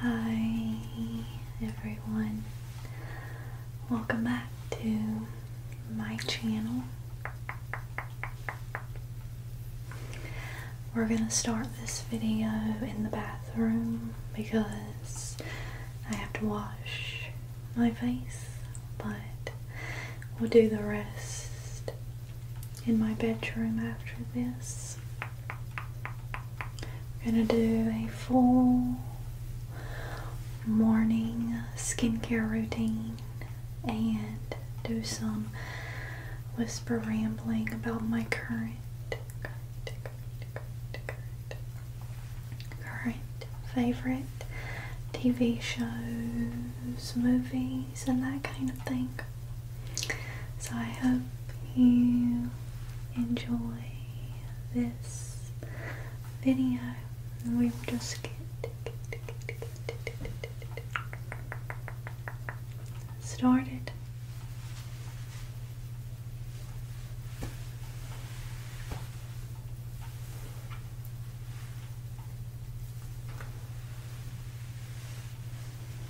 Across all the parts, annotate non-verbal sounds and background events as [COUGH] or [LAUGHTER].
Hi everyone, welcome back to my channel. We're going to start this video in the bathroom because I have to wash my face, but we'll do the rest in my bedroom after this. We're going to do a full morning skincare routine and do some whisper rambling about my current current, current, current, current favorite TV shows, movies, and that kind of thing. So I hope you enjoy this video. We'll just get started.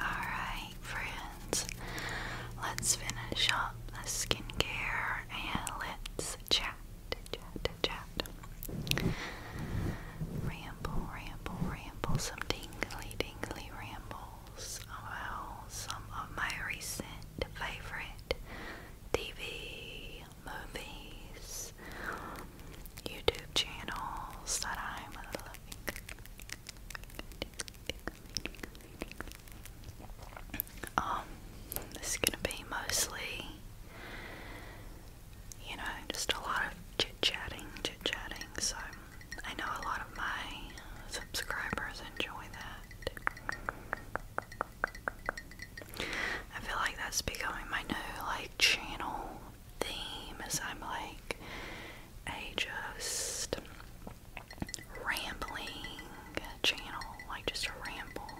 Alright, friends, let's finish up the skincare and let's chat, chat, chat. Ramble, ramble, ramble, some tingly, tingly rambles about some of my recent favorite TV, movies, YouTube channels that I'm loving. Um, this is gonna be mostly, you know, just a lot of chit chatting, chit chatting. So I know a lot of my subscribers enjoy that. I feel like that's becoming my new like channel theme as I'm like I just rambling channel, like just a ramble.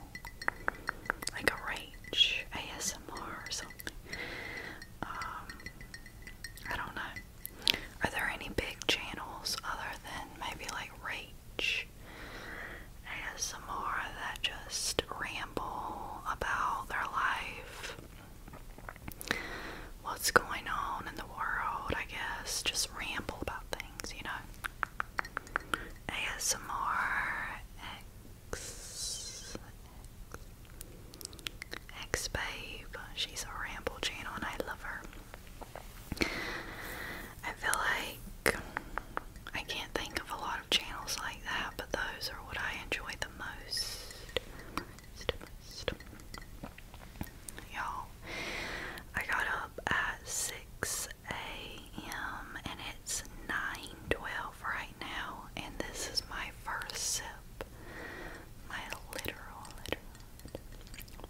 Like a rage ASMR or something. Um, I don't know. Are there any big channels other than maybe like Rage? ASMR that just ramble about their life, what's going on in the world, I guess, just ramble about things, you know. ASMR X, X Babe, she's a ramble channel and I love her. I feel like I can't think of a lot of channels like that, but those are what I enjoy the most. Y'all, I got up at 6 a.m. and it's 9:12 right now, and this is my first sip. My literal,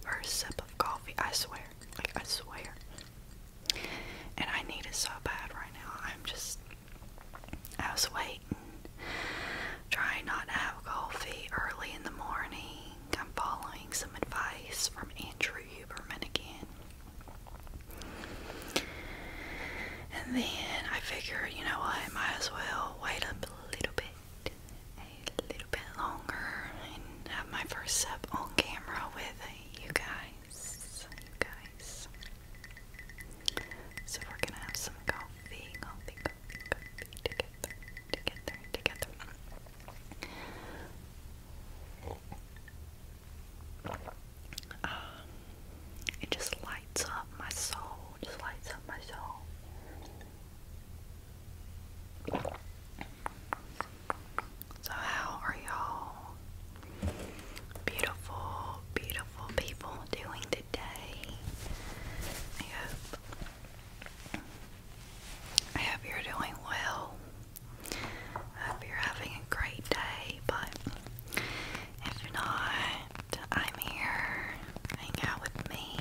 First sip of coffee, I swear. Like, I swear. And I need it so bad right now. I'm just. I was waiting. Trying not to have coffee early in the morning. I'm following some advice from Andrew Huberman again. And then I figured, you know what, might as well wait up a little bit a little bit longer and have my first sip on camera with you guys. So we're gonna have some coffee, coffee, coffee, together, together, together. Um, it just lights up my soul. Just lights up my soul. So, how are y'all beautiful, beautiful people doing today? I hope. I hope you're doing well. hope you're having a great day, but if not, I'm here. Hang out with me.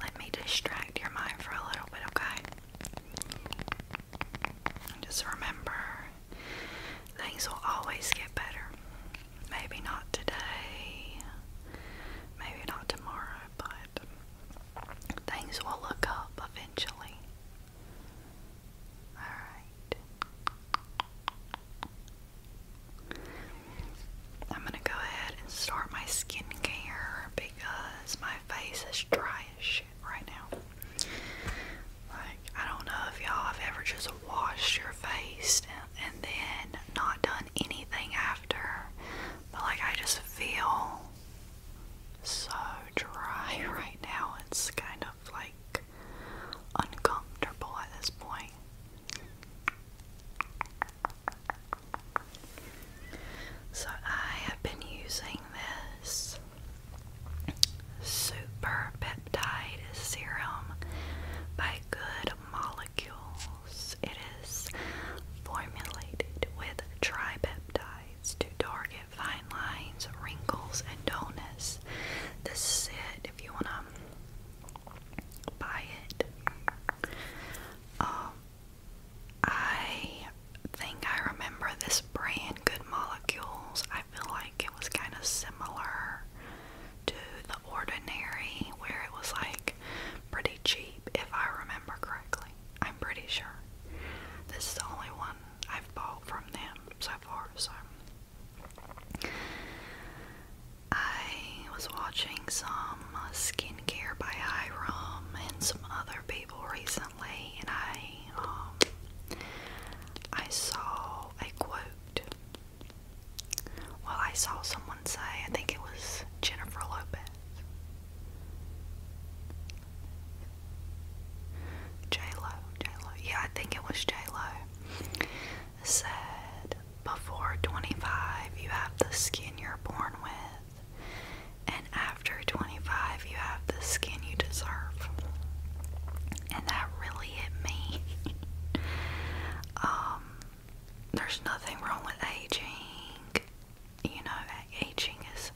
Let me distract your mind for a little bit, okay? just remember, things will always get better. Maybe not today, maybe not tomorrow, but things will look up eventually. Alright. I'm going to go ahead and start my skincare because my face is dry as shit right now. Like, I don't know if y'all have ever just washed your face and, then not done anything after, but like, I just feel so dry [LAUGHS] right now. It's kind of like uncomfortable at this point. So I have been using this Super Peptide Serum by Good Molecules. It is formulated with tripeptides to target fine lines, wrinkles, and dullness. This is it if you want to buy it. Um, I think I remember this brand, Good Molecules. I feel like it was kind of similar to The Ordinary, where it was like pretty cheap, if I remember correctly. I'm pretty sure. This is the only one I've bought from them so far, so. I was watching some skincare by Hiram and some other people recently and I um, I saw a quote. Well, I saw someone say, I think it was Jennifer Lopez. J Lo, J Lo, yeah, I think it was J Lo. Said before 25, you have the skin you're born with. And after 25, you have the skin you deserve. And that really hit me. [LAUGHS] Um, there's nothing wrong with aging. You know, aging is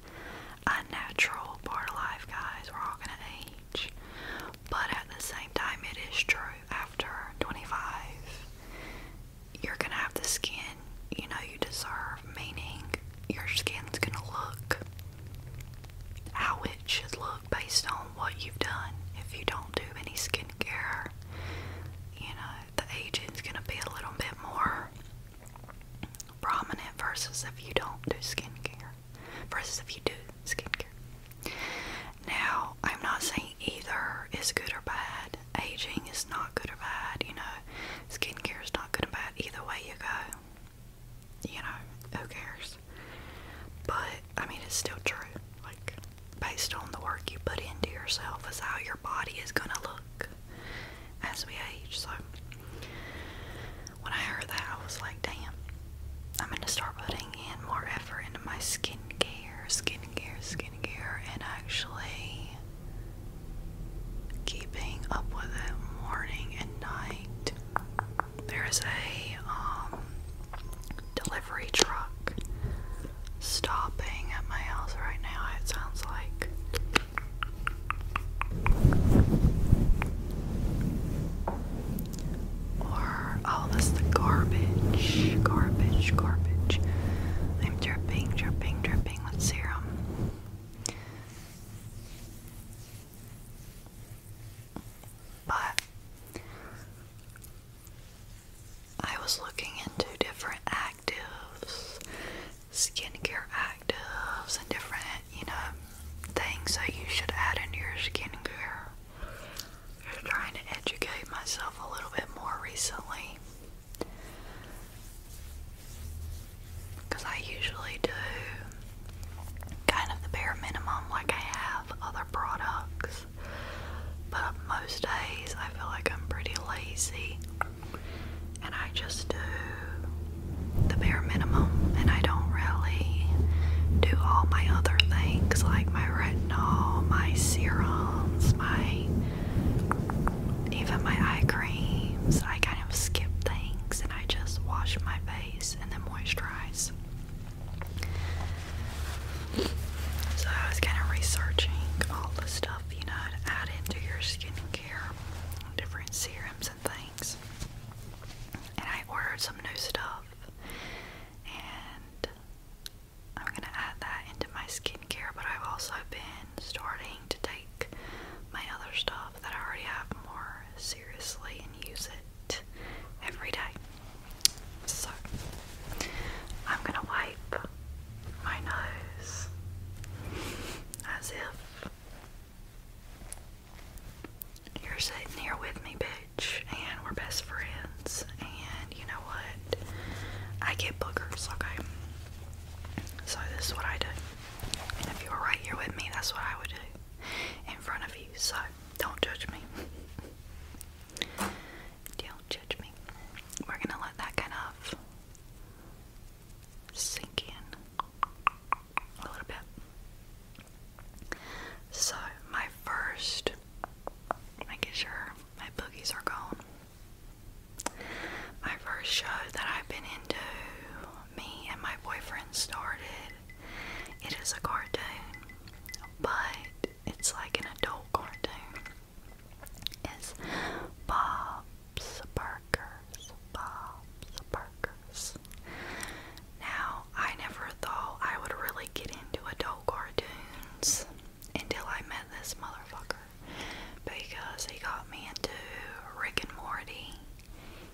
a natural part of life, guys. We're all gonna age. But at the same time, it is true. After 25, you're gonna have the skin you know you deserve, meaning your skin's gonna look how it should look based on what you've done. If you don't do any skincare, you know, the aging's gonna be a little bit more prominent versus if you don't do skincare, versus if you do skincare. Now, I'm not saying either is good or bad. Aging is not good or bad, you know, skincare is not good or bad either way you go. You know, who cares? But, I mean, it's still true. Like, based on the work you put into yourself, is how your body is gonna look as we age. So, when I heard that, I was like, damn, I'm gonna start putting in more effort into my skincare, skincare, skincare, and actually keeping up with it morning and night. There's a um, delivery truck stopping at my house right now, it sounds like. Or, oh, that's the garbage. Garbage, garbage. I'm dripping, dripping, dripping with serum. But I was looking into different actives, skincare actives, and different, you know, things that you should add into your skincare. I'm trying to educate myself a little bit more recently. Because I usually do kind of the bare minimum, like I have other products, but most days I feel like I'm pretty lazy and I just do the bare minimum and I don't really do all my other things like my retinol, my serums, my even my eye creams. Like, I kind of skip things and I just wash my face and then moisturize. So I was kind of researching all the stuff you know to add into your skincare, different serums and things. And I ordered some new stuff, and I'm gonna add that into my skincare. But I've also been starting planning to take my other stuff that I already have more seriously and use it every day. So, I'm gonna wipe my nose as if you're sitting here with me, bitch, and we're best friends. And you know what? I get boogers, okay? So, this is what I do. And if you were right here with me, that's what I would do in front of you. So don't judge me. don't judge me. We're gonna let that kind of sink in a little bit. So my first making sure my boogies are gone. My first show that I've been into, me and my boyfriend started. It is a cartoon, but it's like an adult cartoon. It's Bob's Burgers. Bob's Burgers. Now, I never thought I would really get into adult cartoons until I met this motherfucker because he got me into Rick and Morty.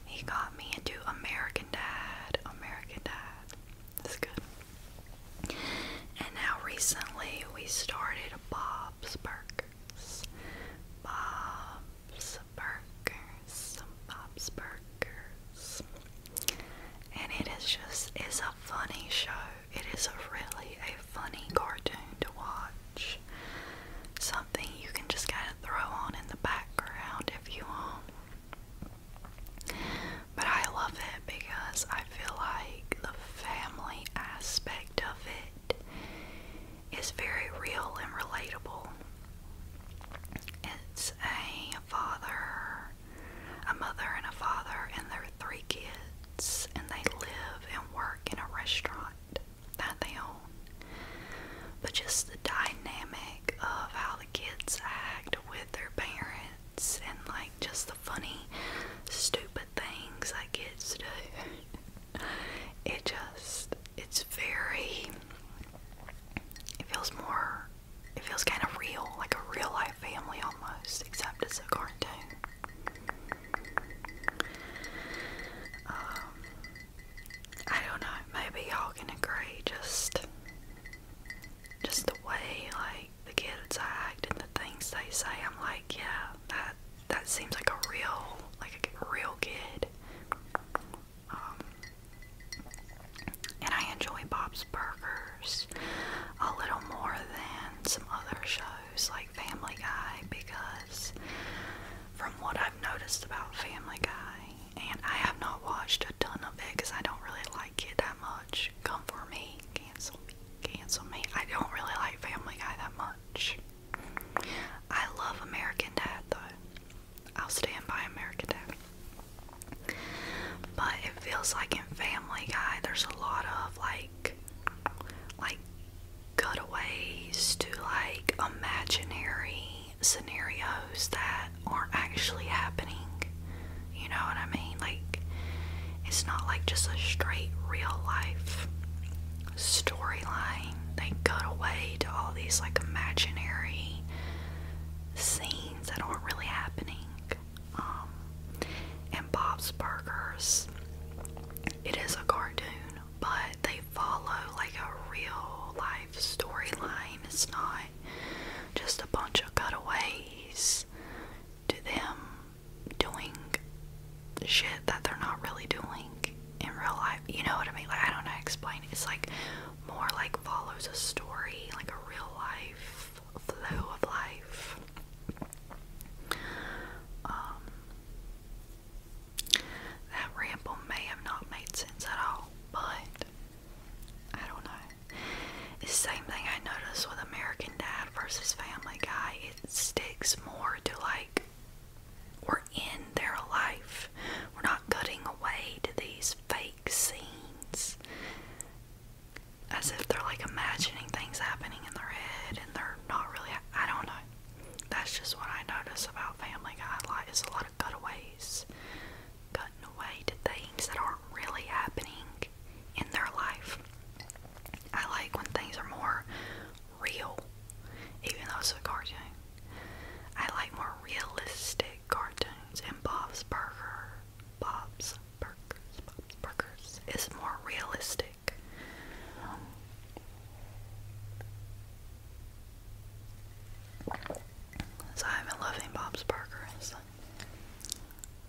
He got me into American Dad. American Dad. That's good. And now recently we started Bob's Burgers. Bob's Burgers. Bob's Burgers. And it is just, it's a funny show. It is really a funny cartoon to watch. Something you can just kind of throw on in the background if you want. But I love it because I feel like the family aspect of it is very real and relatable. It's a father, a mother, and a father, and their three kids, and they live and work in a restaurant that they own. But just the dynamic of how the kids act with their parents and like just the funny, stupid things that kids do. [LAUGHS] it just, it's very, it feels more, it feels kind of real, like a real life family almost, except it's a cartoon. Um, I don't know, maybe y'all can agree, just just the way like the kids act and the things they say, I'm like, yeah, that that seems like a real like a real kid. Um and I enjoy Bob's Burgers a little more than some other shows. Like Family Guy because from what I've noticed about Family Guy, and I have not watched a ton of it because I don't really like it that much. Come for me, cancel me, cancel me. I don't really like Family Guy that much. I love American Dad though. I'll stand by American Dad. But it feels like in Family Guy there's a lot of like like cutaways to like imaginary scenarios that aren't actually happening. You know what I mean? Like, it's not like just a straight real life storyline. They cut away to all these like imaginary scenes that aren't really happening. Um, and Bob's Burgers, it is a cartoon, but they follow like a real life storyline. It's not just a bunch of cutaways to them doing shit that they're not really doing in real life. You know what I mean? Like, I don't know to explain It's like more like follows a story, like a real life flow of life. Um, that ramble may have not made sense at all, but I don't know. the same thing I noticed with American Dad versus Family Guy. It sticks more to like we're in their life. We're not cutting away to these fake scenes as if they're like imagining things happening in their head and they're not really. I don't know. That's just what I notice about Family Guy. Like, it's a lot of cutaways, cutting away to things that aren't really happening in their life. I like when things are more real, even though it's a cartoon. I like more realistic cartoons, and Bob's Burger, Bob's Burgers, Bob's Burgers is more realistic. So i am loving Bob's Burgers.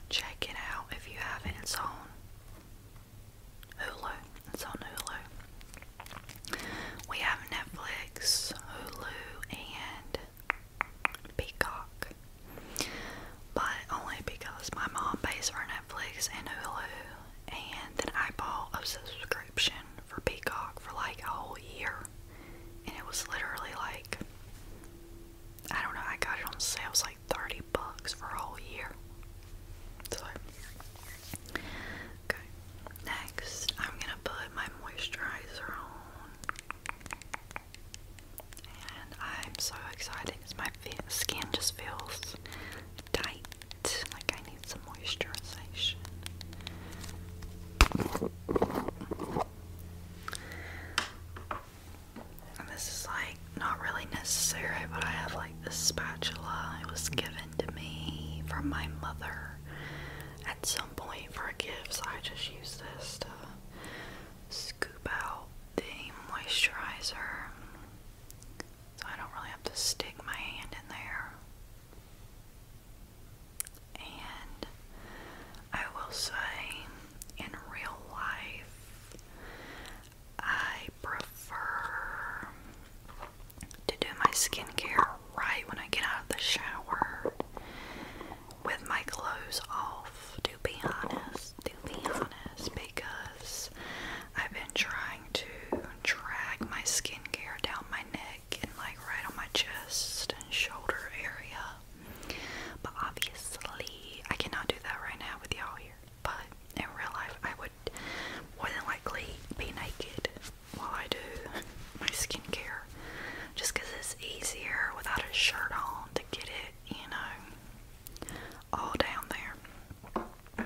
Check it out if you haven't. It's on Hulu. It's on Hulu. We have Netflix, Hulu, and Peacock. But only because my mom pays for Netflix and Hulu, and then I bought a subscription for Peacock for like a whole year. And it was literally like, I don't know, I got it on sale. It was like 30 bucks for a whole year. So, okay. Next, I'm gonna put my moisturizer on. And I'm so excited because my skin just feels tight like I need some moisturization. And this is like not really necessary, but I have like this spatula. It was given to me from my mother at some point for a gift, so I just use this to scoop out the moisturizer so I don't really have to stick my hand in there. And I will say, in real life, I prefer to do my skincare right when I get out of the shower with my clothes off, to be honest, to be honest, because I've been trying to drag my skincare down my neck and like right on my chest and shoulder area. But obviously, I cannot do that right now with y'all here. But in real life, I would more than likely be naked while I do my skincare just because it's easier without a shirt on to get it, you know, all down there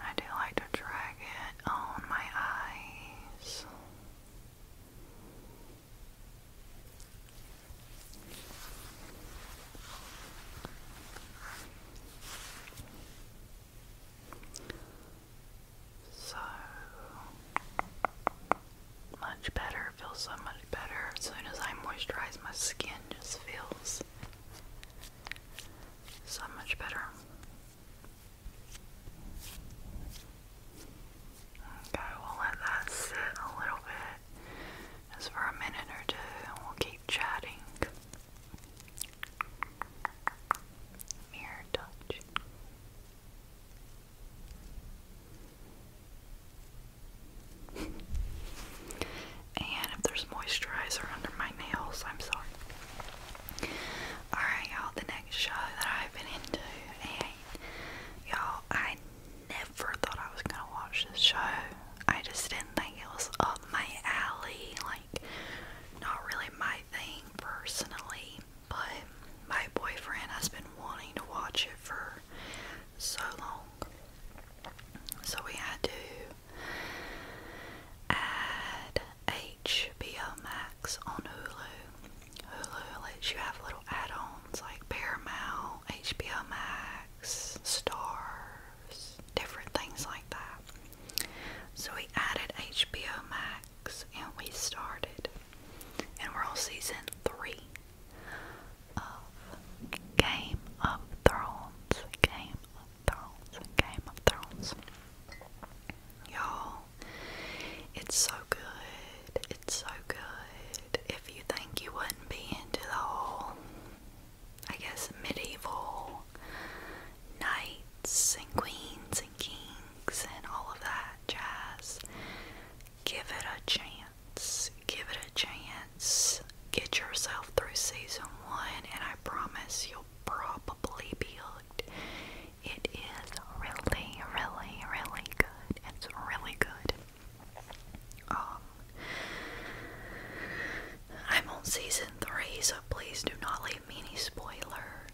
I do like to drag it on my eyes. So much better, feels so much better. As soon as I moisturize, my skin just feels so much better. Okay, we'll let that sit a little bit just for a minute or two and we'll keep chatting. Mirror touch. [LAUGHS] and if there's moisturizer under my nails, I'm sorry. Alright, y'all, the next show that I've been into, y'all, I never thought I was gonna watch this show. I just didn't think it was up my alley, like, not really my thing personally, but my boyfriend has been wanting to watch it for so long. So we had to add HBO Max on Hulu. Hulu lets you have little add-ons like Paramount, HBO Max, Stars, different things like that. So we added HBO Max and we started. And we're on season three of Game of Thrones. Game of Thrones. Game of Thrones. Y'all, it's so good. It's so good. If you think you wouldn't be into the whole, I guess, medieval knights and queens and kings and all of that jazz, give it a chance. Give it a chance. Get yourself through season one, and I promise you'll probably be hooked. It is really, really, really good. It's really good. Um, I'm on season three, so please do not leave me any spoilers.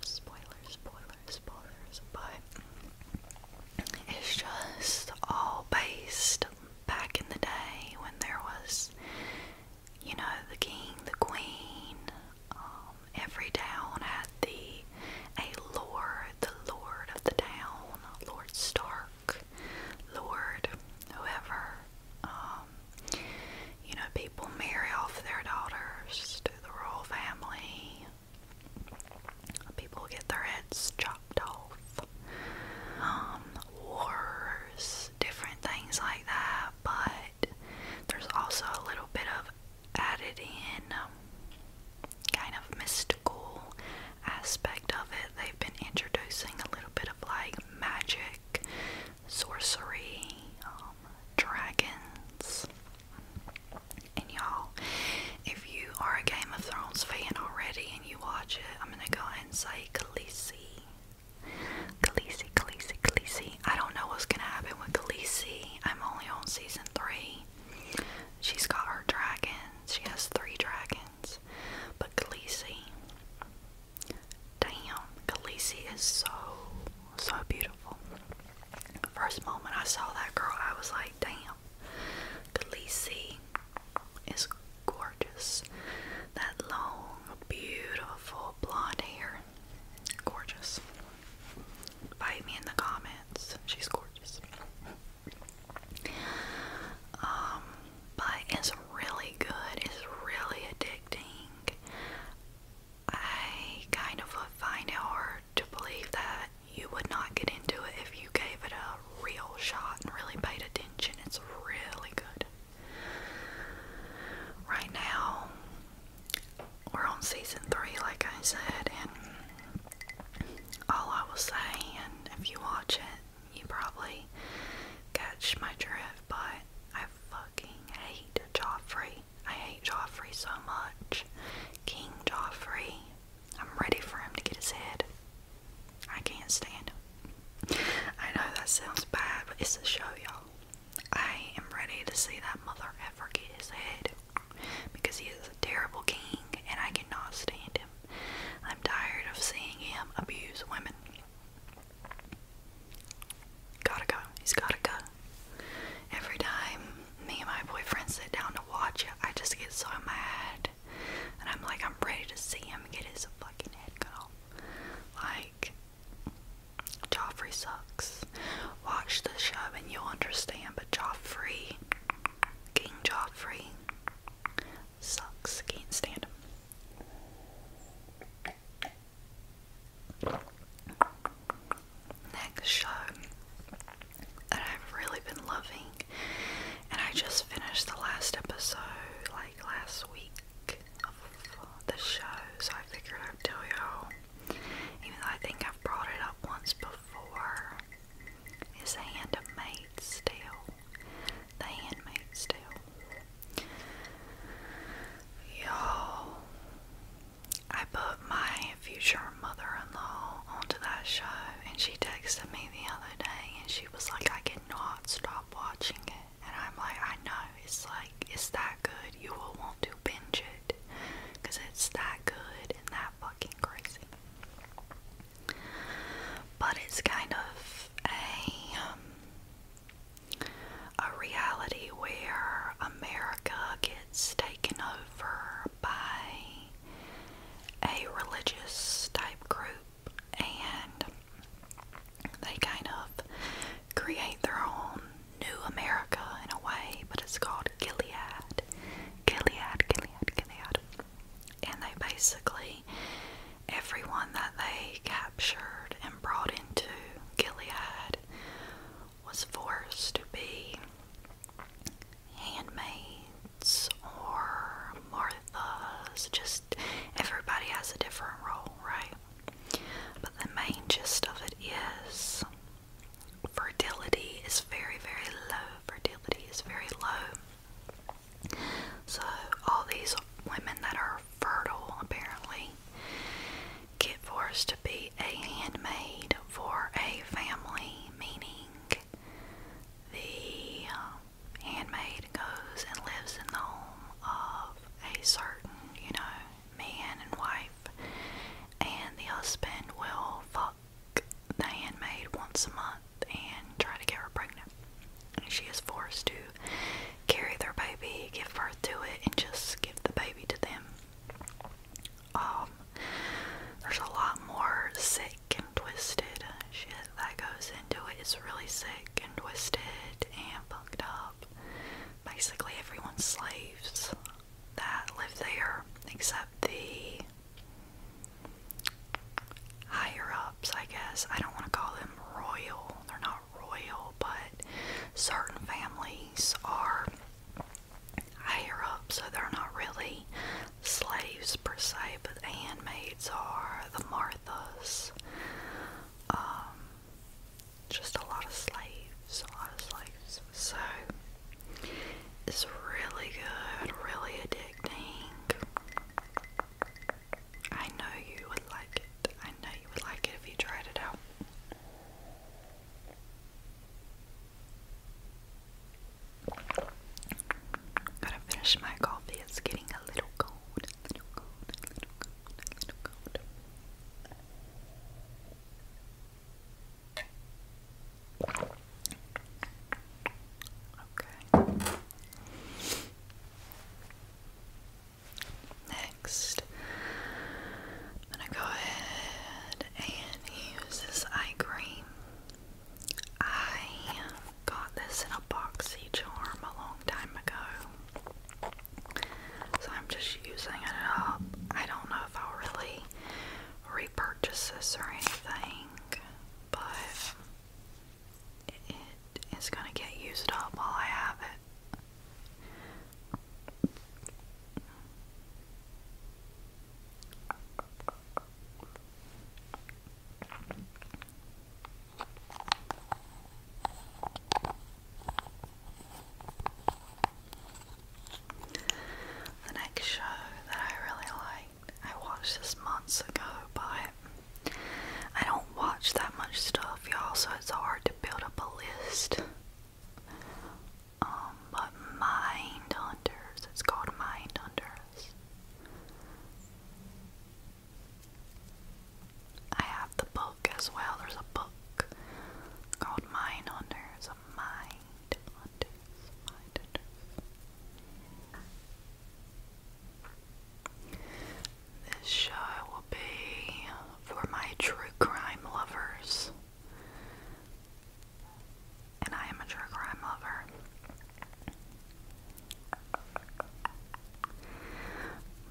Spoilers, spoilers, spoilers. But it's just all based back in the day when there was, you know, the king, the queen, um, every town at the a lord, the lord of the town, Lord Stark, Lord whoever. Um, you know, people marry off their daughters to the royal family. People get their heads chopped off. Um, wars, different things like that, but there's also a little bit of added in um, kind of mystical aspect of it. They've been introducing a little bit of like magic, sorcery, um, dragons. And y'all, if you are a Game of Thrones fan already and you watch it, I'm gonna go ahead and say Khaleesi. Khaleesi, Khaleesi, Khaleesi I don't know what's gonna happen with Khaleesi. I'm only on season three. She's got her dragons. She has three dragons. But Khaleesi, damn, Khaleesi is so so beautiful. first moment I saw that girl, I was like, damn, Khaleesi is gorgeous. That long, beautiful blonde hair, gorgeous. Bite me in the comments. She's gorgeous. Um, but it's really good. It's really addicting. I kind of find it hard to believe that you would not get into it if you gave it a real shot and really paid attention. It's really good. Right now, we're on season three, like I said, and all I will say, and if you watch it, you probably catch my drift, but I fucking hate Joffrey. I hate Joffrey so much. King Joffrey. I'm ready for him to get his head. I can't stand him. I know that sounds bad, but it's a show, y'all. I am ready to see that mother ever get his head because he is a terrible king and I cannot stand him. I'm tired of seeing him abuse women. Gotta go. He's gotta go. Every time me and my boyfriend sit down to watch it, I just get so mad. And I'm like, I'm ready to see him get his fucking head cut off. Like, Joffrey sucks. Watch the show and you'll understand, but Joffrey, King Joffrey, sucks. Can't stand him. Next show that I've really been loving, and I just finished the last episode like last week of the show, so I figured I'd tell you even though I think I've brought it up once before, is handmade steel. The handmade steel. Y'all, I put my future mother-in-law onto that show, and she texted me the other day, and she was like, "I cannot stop watching it," and I'm like, "I know it's like it's that good. You will want to binge it." because it's that good and that fucking crazy. But it's kind of a um, a reality where America gets taken over by a religious type group and they kind of create their own New America in a way, but it's called Gilead. Gilead, Gilead, Gilead. And they basically, everyone that they captured and brought into Gilead was forced to be handmaids or Marthas. Just everybody has a different role, right? But the main gist of it is fertility is very, very low. Fertility is very low. So, all these women that are fertile apparently get forced to be a handmaid for a family, meaning the um, handmaid goes and lives in the home of a certain, you know, man and wife, and the husband will fuck the handmaid once a month and try to get her pregnant. she is forced to carry their baby, give birth to it, and just give the baby to them. Um, there's a lot more sick and twisted shit that goes into it. It's really sick and twisted and fucked up. Basically, everyone slaves that live there except the higher ups, I guess. I don't want to call them royal, they're not royal, but certain families are higher up, so they're not really slaves per se, but handmaids are, the Marthas. Um, just a lot of slaves, a lot of slaves. So it's really good, really addicting. I know you would like it. I know you would like it if you tried it out. Gotta finish my coffee. It's getting a little cold. Next, I'm gonna go ahead and use this eye cream. I got this in a boxy charm a long time ago. So I'm just using it up. I don't know if i really repurchases or anything, but it is going to get used up while I have it. The next show that I really liked, I watched this months ago, but I don't watch that much stuff, y'all, so it's hard to build up a list. Um, but Mind it's called Mind I have the book as well. There's a book called Mind this show will be for my true crime lovers. And I am a true crime lover.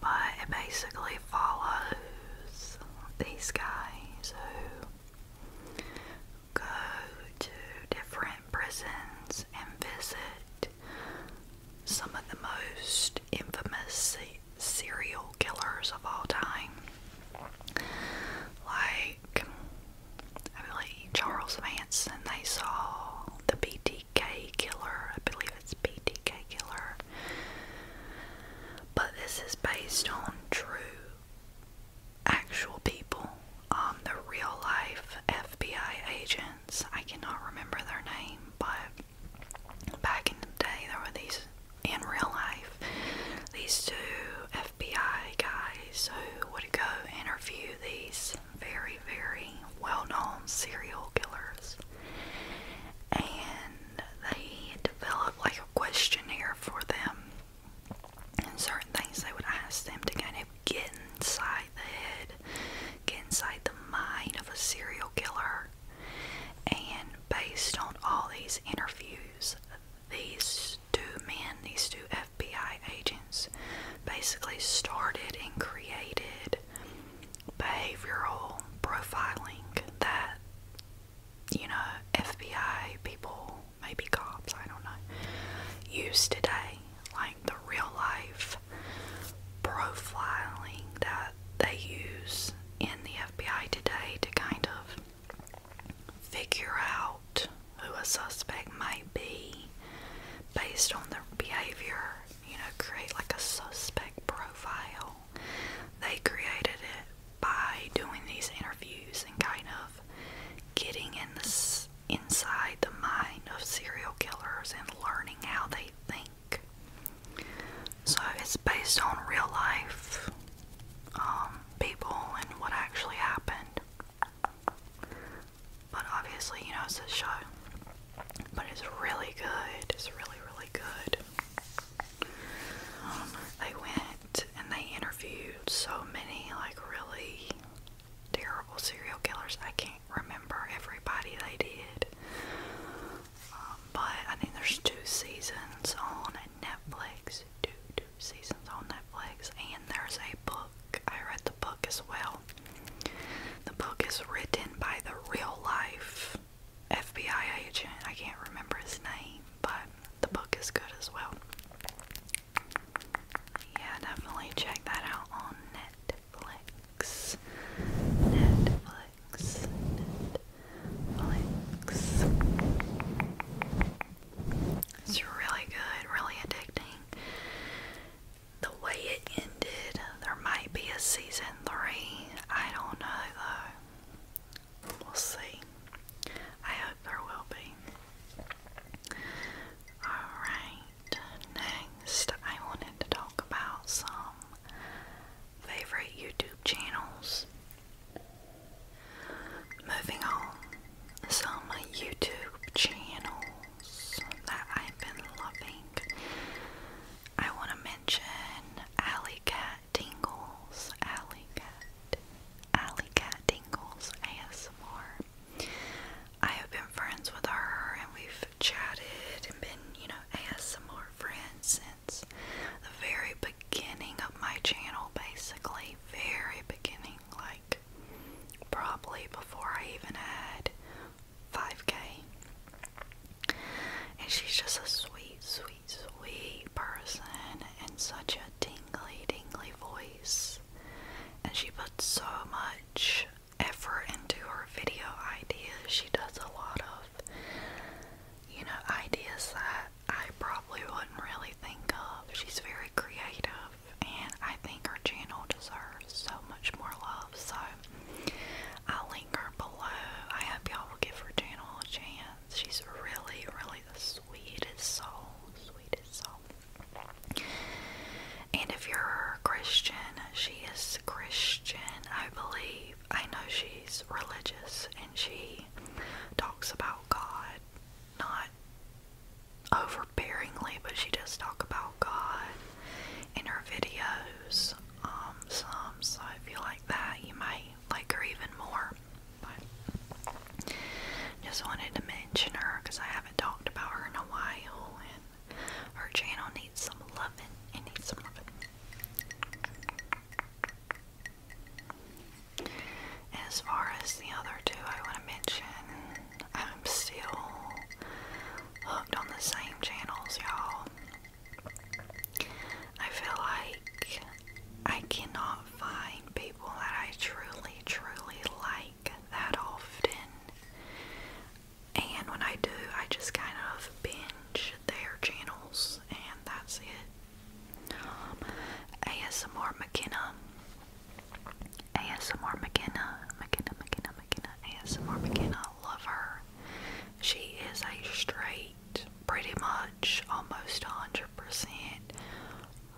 But it basically follows these guys who go to different prisons and visit some of the most infamous serial killers of all time. Like, I believe Charles Manson, they saw the BTK killer. I believe it's BTK killer. But this is based on true actual people, um, the real life FBI agents. I cannot remember their name, but back in the day, there were these in real life, these two FBI guys who would go interview these very, very well known serial killers. And they developed like a questionnaire for them and certain things they would ask them to kind of get inside the head, get inside the mind of a serial killer. And based on all these interviews, these two men, these two FBI agents, basically started and created behavioral profiling that you know, FBI people, maybe cops, I don't know, use today, like the real life profiling that they use in the FBI today to kind of figure out who a suspect might be based on their behavior, you know, create like a suspect profile. They created it by doing these interviews and kind of getting in the, inside the mind of serial killers and learning how they think. So it's based on real life um, people and what actually happened. But obviously, you know, it's a show. But it's really good. It's really, really good. Um, they went and they interviewed so many like really terrible serial killers. I can't remember everybody they did. Um, but I think there's two seasons on Netflix. Two two seasons on Netflix and there's a book. I read the book as well. The book is written by the real life FBI agent. I can't remember his name, but the book is good as well. Yeah, definitely check that out on Netflix. Netflix. Netflix. It's really good, really addicting. The way it ended, there might be a season three. I don't know though. We'll see. I hope there will be. Alright, next I wanted to talk about some favorite YouTube channels. Moving on, some YouTube channels that I've been loving. I want to mention Alley Cat Cat Tingles, Alley Cat, Alley Cat Tingles ASMR. I have been friends with her and we've chatted and been, you know, ASMR friends since the very beginning of my channel, basically. Very beginning, like probably before I even had 5k. And she's just a sweet, sweet sweet person and such a tingly, tingly voice. And she puts so much effort into her video ideas. She does a lot of, you know, ideas that I probably wouldn't really think of. She's very creative, and I think her channel deserves so much more love. So I'll link her below. I hope y'all will give her channel a chance. She's really, really the sweetest soul, sweetest soul. And if you're Christian, she is Christian, I believe. I know she's religious and she talks about God, not overbearingly, but she does talk about God in her videos, um, So if you like that, you might like her even more. But just wanted to mention her because I haven't talked about her in a while, and her channel needs some loving. It needs some love. As far as the other two, I want to mention I'm still hooked on the same channels, y'all. I feel like I cannot find people that I truly, truly like that often. And when I do, I just kind of binge their channels, and that's it. Um, ASMR McKenna. ASMR McKenna. McKenna, McKenna, McKenna. ASMR McKenna. Love her. She is a straight, pretty much much, almost 100%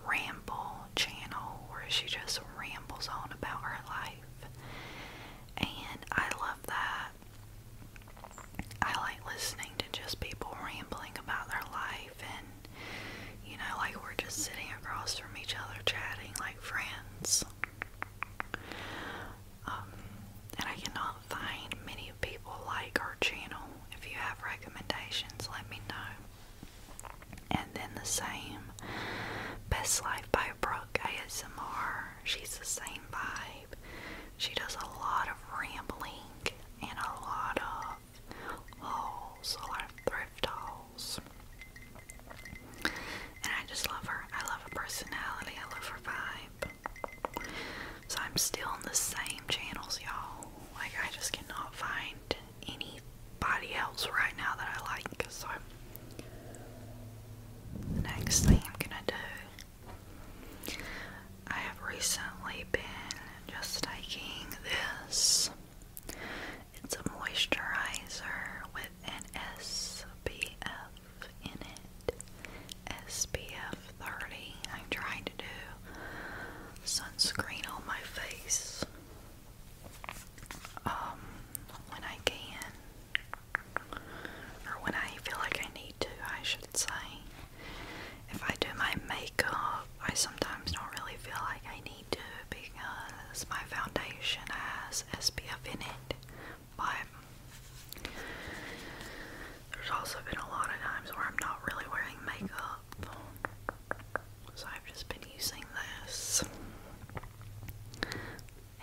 ramble channel where she just rambles on about her life. And I love that. I like listening to just people rambling about their life and you know, like we're just sitting across from each other chatting like friends. Um, and I cannot find many people like our channel. If you have recommendations, let me know. And then the same Best Life by Brooke ASMR. She's the same vibe. She does a lot of rambling and a lot of hauls, a lot of thrift hauls. And I just love her. I love her personality. I love her vibe. So I'm still on the same channels, y'all. Like, I just cannot find anybody else right now that I like. So, the next thing I'm gonna do, I have recently been just taking this. It's a moisturizer with an SPF in it. SPF 30. I'm trying to do sunscreen on my face um, when I can, or when I feel like I need to, I should say. If I do my makeup, I sometimes don't really feel like I need to because my foundation has SPF in it, but there's also been a lot of times where I'm not really wearing makeup so I've just been using this.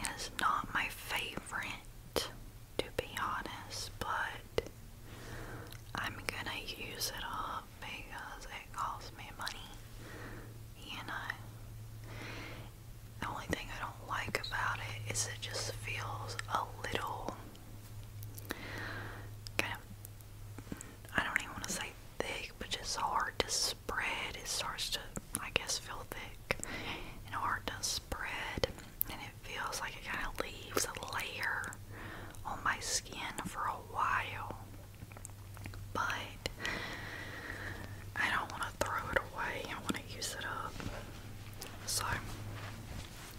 it's not my favorite, to be honest, but I'm gonna use it up because it costs me money. You know, the only thing I don't like about it is it just feels a little kind of I don't even want to say thick, but just hard to spread. It starts to, I guess, feel thick and hard to spread, and it feels like it kind of leaves a layer on my skin for a while. But I don't want to throw it away, I want to use it up. So,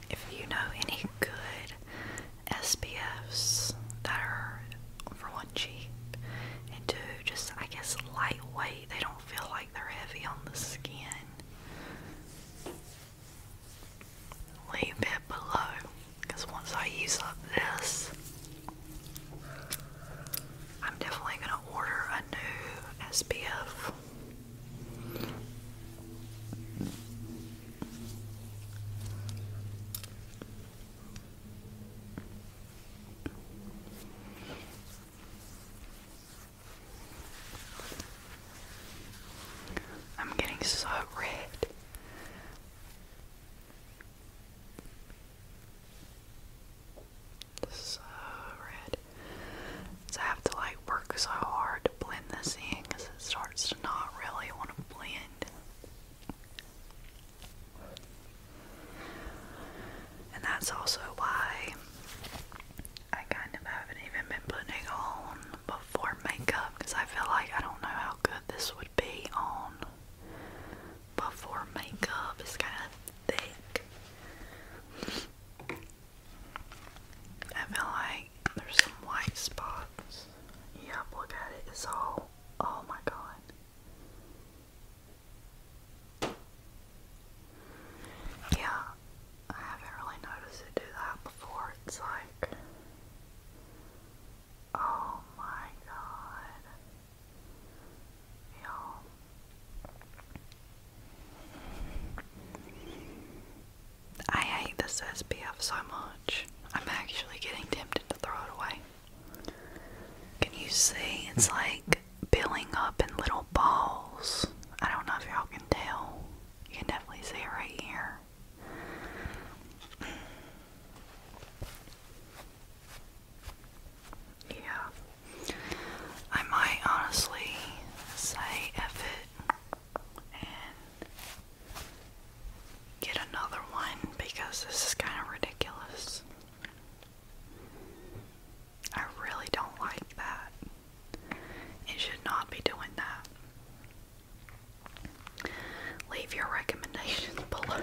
if you know any good SPFs that are for one cheap and do just I guess lightweight. They don't feel like they're heavy on the skin. Leave it below because once I use up this, I'm definitely going to order a new SPF. I'm getting so red. So red. So I have to like work so hard to blend this in it starts to not really want to blend. And that's also why I kind of haven't even been putting on before makeup because I feel like I don't know how good this would be on before makeup. It's kind of thick. I feel there's some white spots. Yep, look at it. It's all oh my god. Yeah, I haven't really noticed it do that before. It's like oh my god. Y'all. I hate this SPF so much. I'm actually getting tempted to throw it away. Can you see? It's hmm. like building up in little balls. I don't know if y'all can tell. You can definitely see it right here. Yeah. I might honestly say F it get another one because this is kind of ridiculous. I really don't like that. It should not be doing that. Leave your recommendations [LAUGHS] below.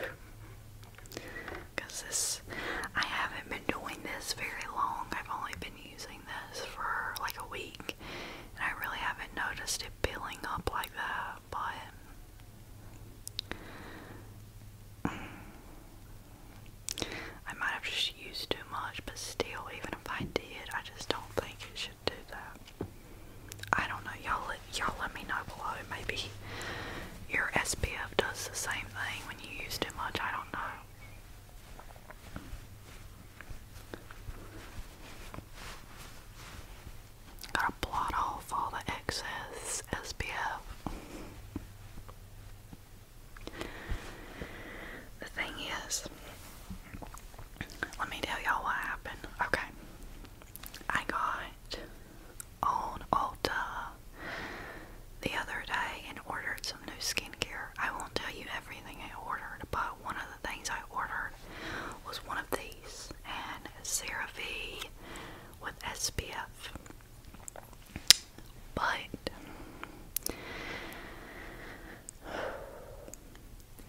Because this, I haven't been doing this very long. I've only been using this for like a week, and I really haven't noticed it building up like that. Um, I might have just used too much, but still, even if I did, I just don't think it should do that. I don't know, y'all y'all let me know below. Maybe your SPF does the same thing when you use too much, I don't know. Gotta blot off all the excess SPF. The thing is, let me tell y'all what happened. Okay, I got on Ulta the other day and ordered some new skincare. I won't tell you everything I ordered, but one of the things I ordered was one of these, and CeraVe with SPF. But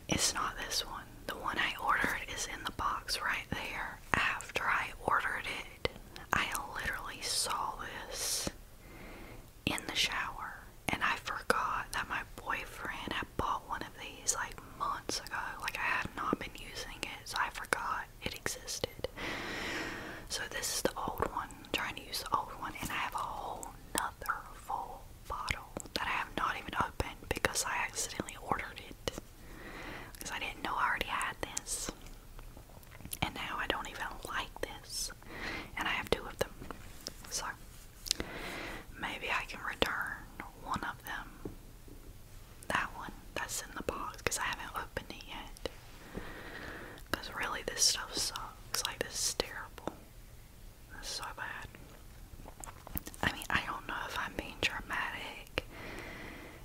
it's not this one. The one I ordered is in the box right there. After I ordered it, I literally saw this in the shower and I forgot that my boyfriend I bought one of these like months ago. Like I had not been using it, I forgot it existed. So this is the old one. trying to use the old one, and I have a whole nother full bottle that I have not even opened because I accidentally ordered it because I didn't know I already had this. And now I don't even like this. And I have two of them. So Maybe I can return one of them. That one that's in the box because I haven't opened it yet. Because really, this stuff sucks. Like, this is terrible. This is so bad. I mean, I don't know if I'm being dramatic,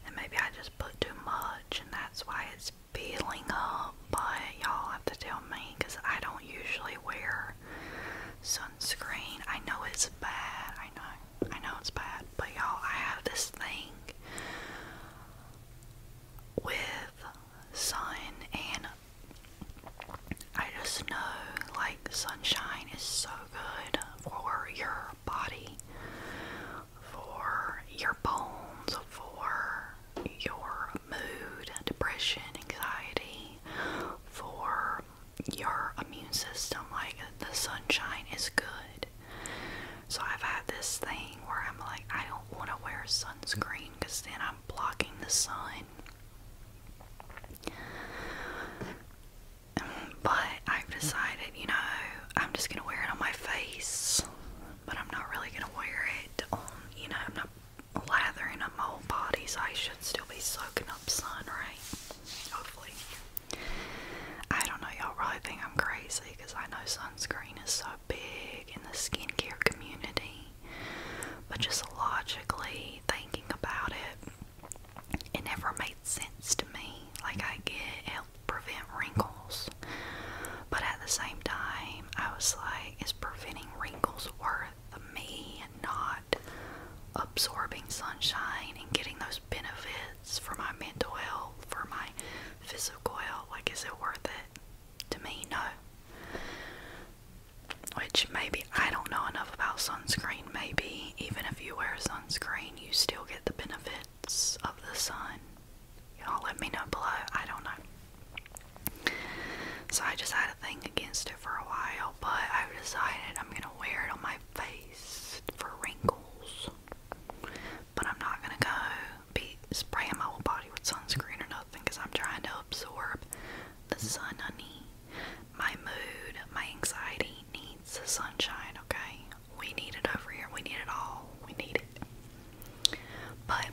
and maybe I just put too much, and that's why it's peeling up. But y'all have to tell me because I don't usually wear sunscreen. I know it's bad. I know. I know it's bad. But y'all, I have this thing with sun and I just know like sunshine is so good for your body, for your bones, for your mood, depression, anxiety, for your immune system. Like the sunshine is good. So I've had this thing where I'm like, I don't want to wear sunscreen because then I'm blocking the sun. But I've decided, you know, I'm just gonna wear it on my face, but I'm not really gonna wear it on, you know, I'm not lathering up my whole body, so I should still be soaking up sun, right? Hopefully. I don't know, y'all probably think I'm crazy because I know sunscreen is so big in the skincare community. But just logically thinking about it, it never made sense to me. Like, I get it helps prevent wrinkles. But at the same time, I was like, is preventing wrinkles worth me not absorbing sunshine and getting those benefits for my mental health, for my physical health, like is it worth it? To me, no. Which maybe I don't know enough about sunscreen. Maybe even if you wear sunscreen, you still get the benefits of the sun. Y'all let me know below. I don't know. So I just had a thing against it for a while, but I've decided I'm gonna wear it on my face for wrinkles. But I'm not gonna go be spraying my whole body with sunscreen or nothing because I'm trying to absorb the sun I need. My mood, my anxiety needs the sunshine, okay? We need it over here. We need it all. We need it. But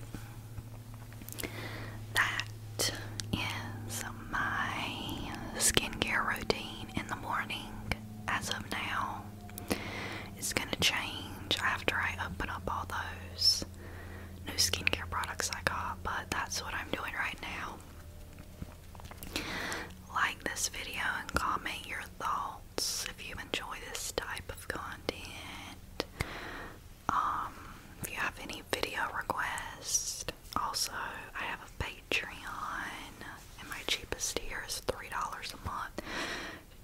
that is my skincare routine in the morning as of now is going to change after I open up all those new skincare products I got, but that's what I'm doing right now. Like this video and comment your thoughts if you enjoy this type of content. Um, if you have any video requests, also, I have a Patreon, and my cheapest tier is $3 a month.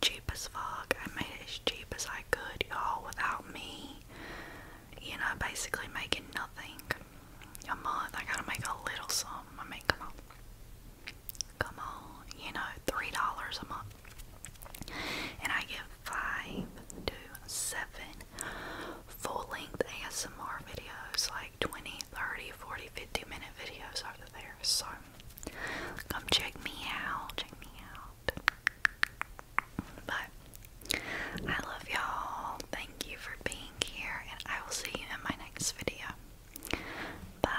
Cheapest as fuck. I made it as cheap as I could, y'all, without me, you know, basically making nothing a month. I gotta make a little sum. I mean, come on. Come on, you know, $3 a month. And I give five full length ASMR videos like 20, 30, 40, 50 minute videos over there. So come check me out. Check me out. But I love y'all. Thank you for being here, and I will see you in my next video. Bye.